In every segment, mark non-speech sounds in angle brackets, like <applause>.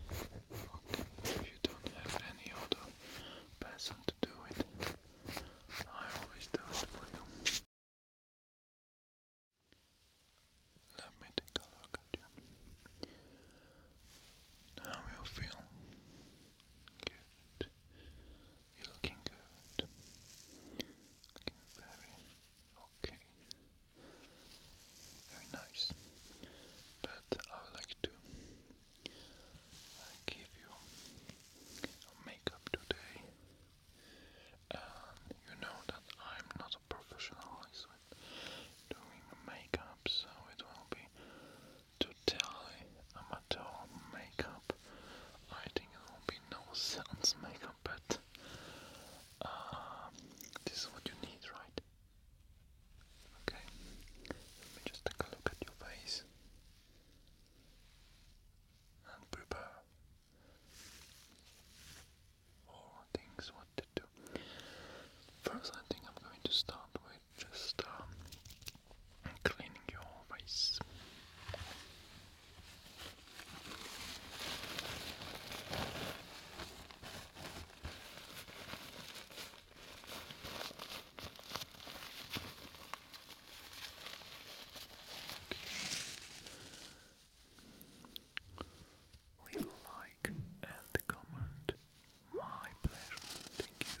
If you don't have any other person to do it, I always do it for you. Let me take a look at you. How you feel? Good. You're looking good. Looking very okay very nice. But I would like to uh, give you makeup today. And you know that I'm not a professional doing makeup, so it will be totally amateur makeup. I think it will be no sense makeup, but uh, this is what you need, right? Okay, let me just take a look at your face and prepare for things what to do. First, I think I'm going to start with just um, cleaning your face. Leave a like and a comment. My pleasure. Thank you.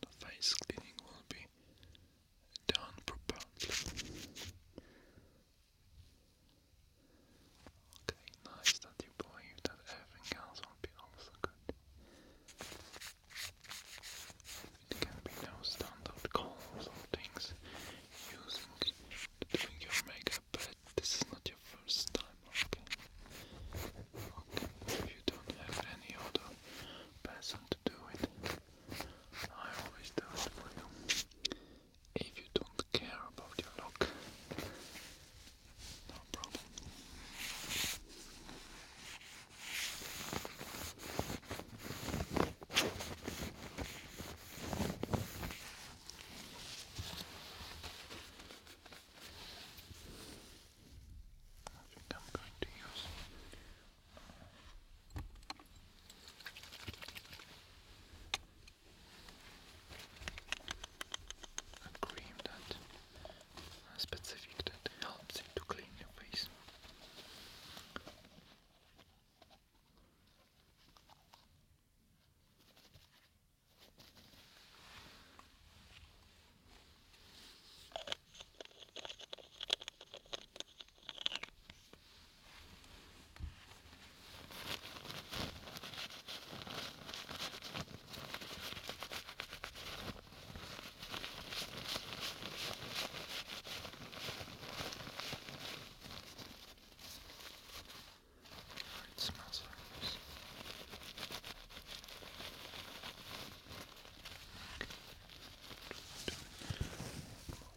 the face cleaning will be done properly. Okay, nice that you believe that everything else will be also good. It can be no standard calls or things using doing your makeup, but this is not your first time. Okay. if you don't have any other person to do it, I always do it for you. If you don't care about your look, no problem. I think I'm going to use a cream that specific that helps to clean your face. It smells like this. One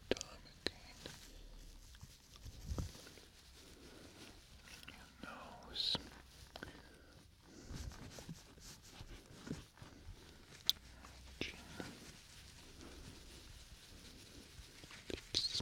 time again. Your nose. Chin. Lips.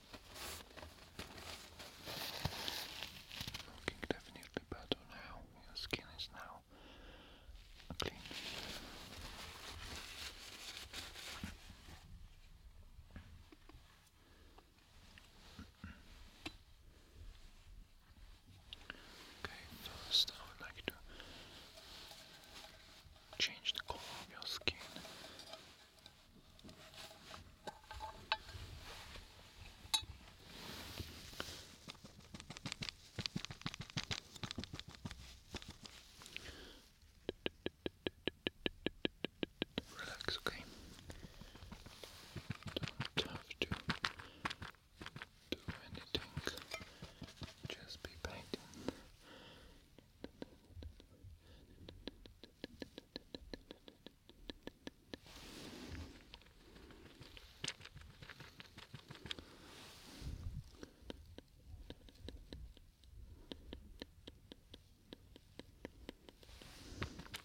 Looking definitely better now. Your skin is now clean. Okay, first I would like to change the color of your skin Relax, okay? Don't have to do anything, just be painting. <laughs>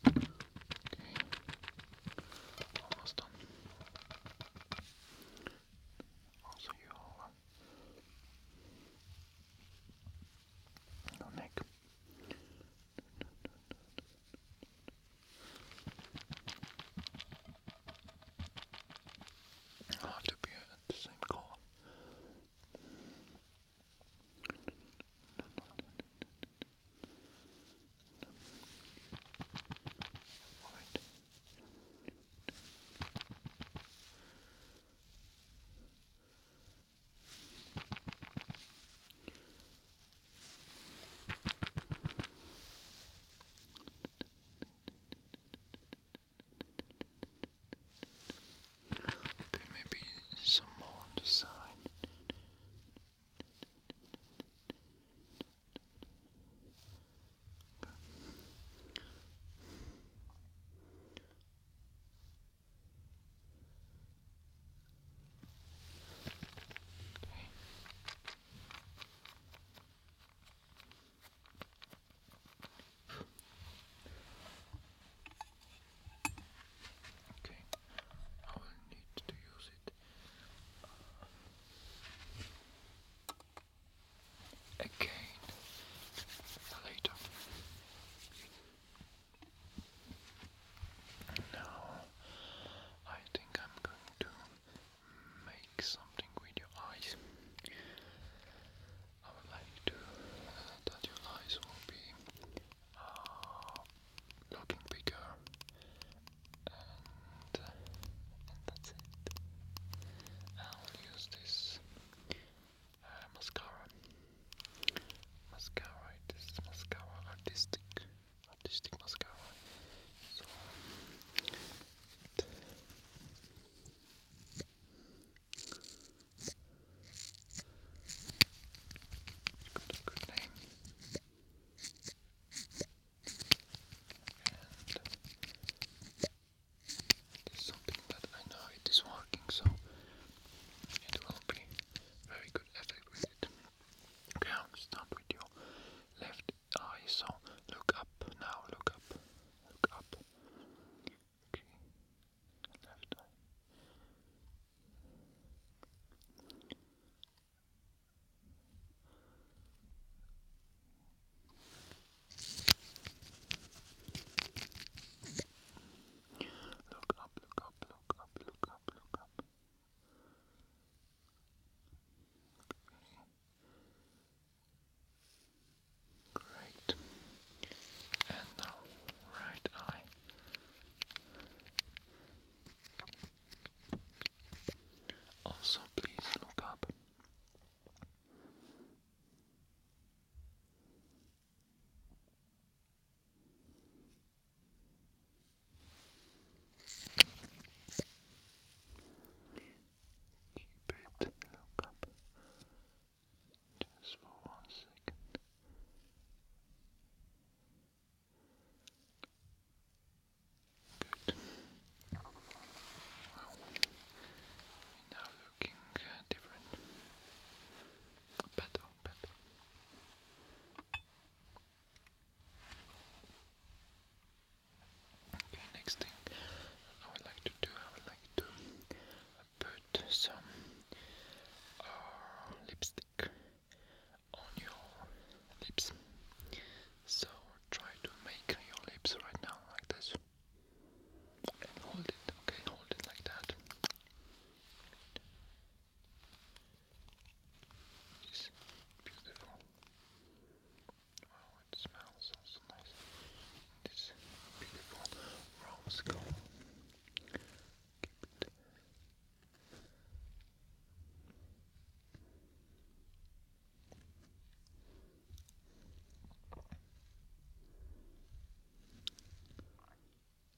Okay. Almost done. Also, your, uh, your neck. I'll have to be at the same call. Okay, maybe some more on the side. Okay, I will need to use it again later. Now, I think I'm going to make something with your eyes. I would like to uh, that your eyes will be uh, looking bigger, uh, and that's it. I'll use this uh, mascara. Mascara, it is mascara, artistic, artistic mascara. So, got good name. it is something that I know it is working, so it will be very good Okay, I'm going with your left eye. So look up now. Look up. up. Okay. Left eye. Look up, look up up, look up, look up, look up. Great. And now, right eye. Also, please look up. Keep it look up just for one second. Good. now looking uh, different. Okay, next thing I would like to do, I would like to put some uh, lipstick on your lips. So try to make your lips right now like this. And hold it, okay? Hold it like that. It's beautiful. Wow, it smells also nice. This beautiful rose gold. Keep it. Wow,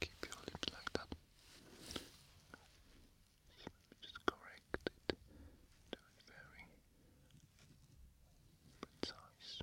Keep your lid like that. So just correct it to a very precise.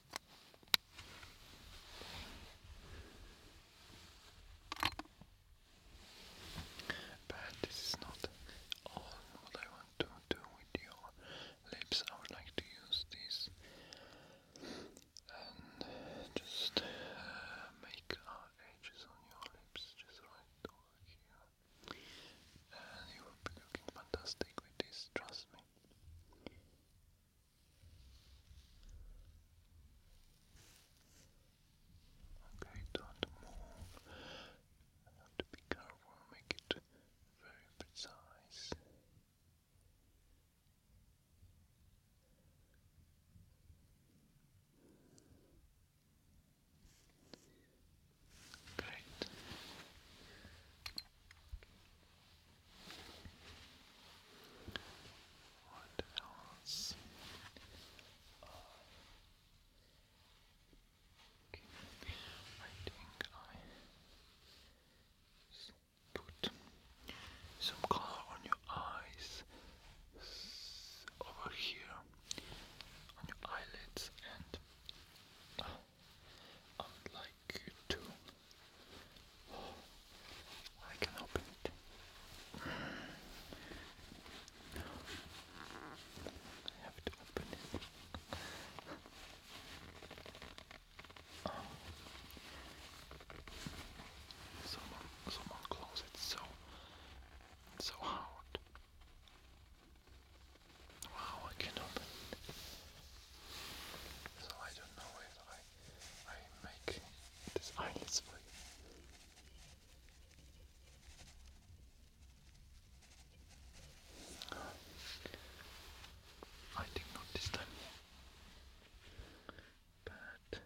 But this is not all what I want to do with your lips. I would like to use this and just uh, make our edges on your lips just right over here. And you will be looking fantastic with this, trust me. Okay, don't move. I be careful, make it very precise. Great. What else? okay. I think I put some color on your eyes over here, on your eyelids, and uh, I would like you to. I can open it. I have to open it. Someone, someone close it so, so hard. Wow, I can open so I don't know if I I make these eyelids for I think not this time. But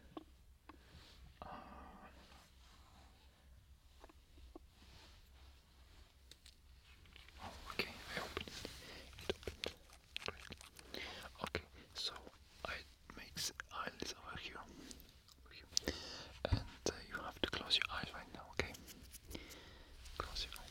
uh, okay, I opened it. It opened. Great. Okay, so I make the eyelids over here. Over And uh, you have to close your eyes right now, okay? Close your eyes.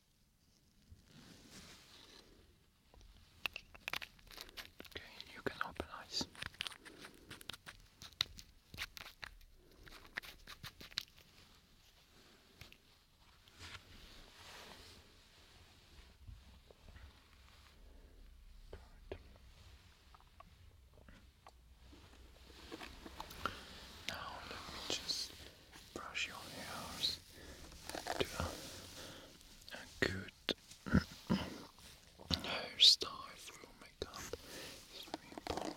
Okay, you can open eyes. Now let me just brush your hairs to a, good hairstyle through makeup important.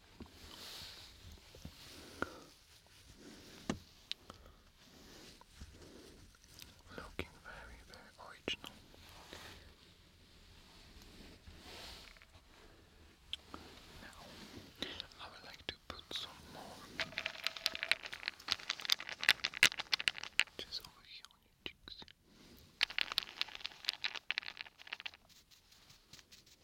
Looking very, very original. Now, I would like to put some more, just over here on your cheeks.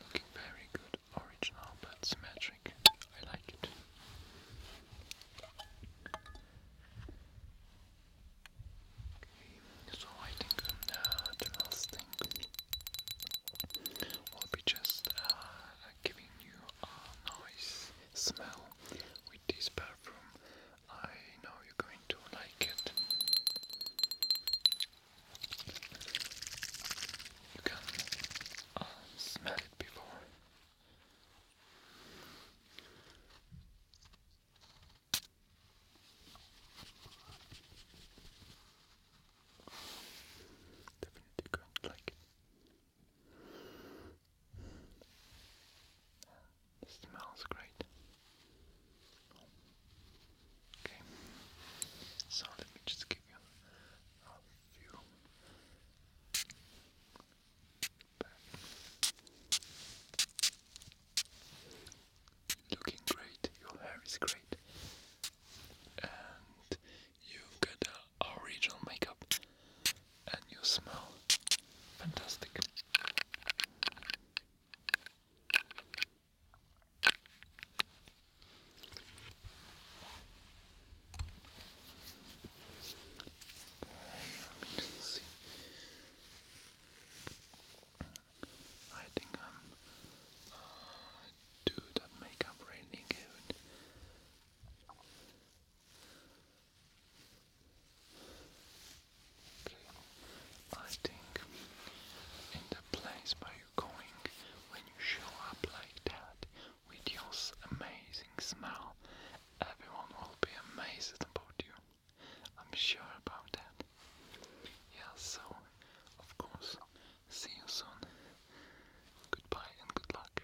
Looking very good, original but symmetric. I like it. so I think um, the last thing will be just uh, giving you a nice smell with this perfume. I know you're going to like it. You can um, smell it before. Definitely going to like it. It smells great. Okay, so let me just give you a few Looking great, your hair is great, and you got a original makeup and you smell fantastic. let me see. I think I'm uh, that makeup really good. Okay. I think in the place where you're going, when you show up like that with your amazing smell, everyone will be amazed about you. I'm sure about that. Yeah, so of course, see you soon. Goodbye and good luck.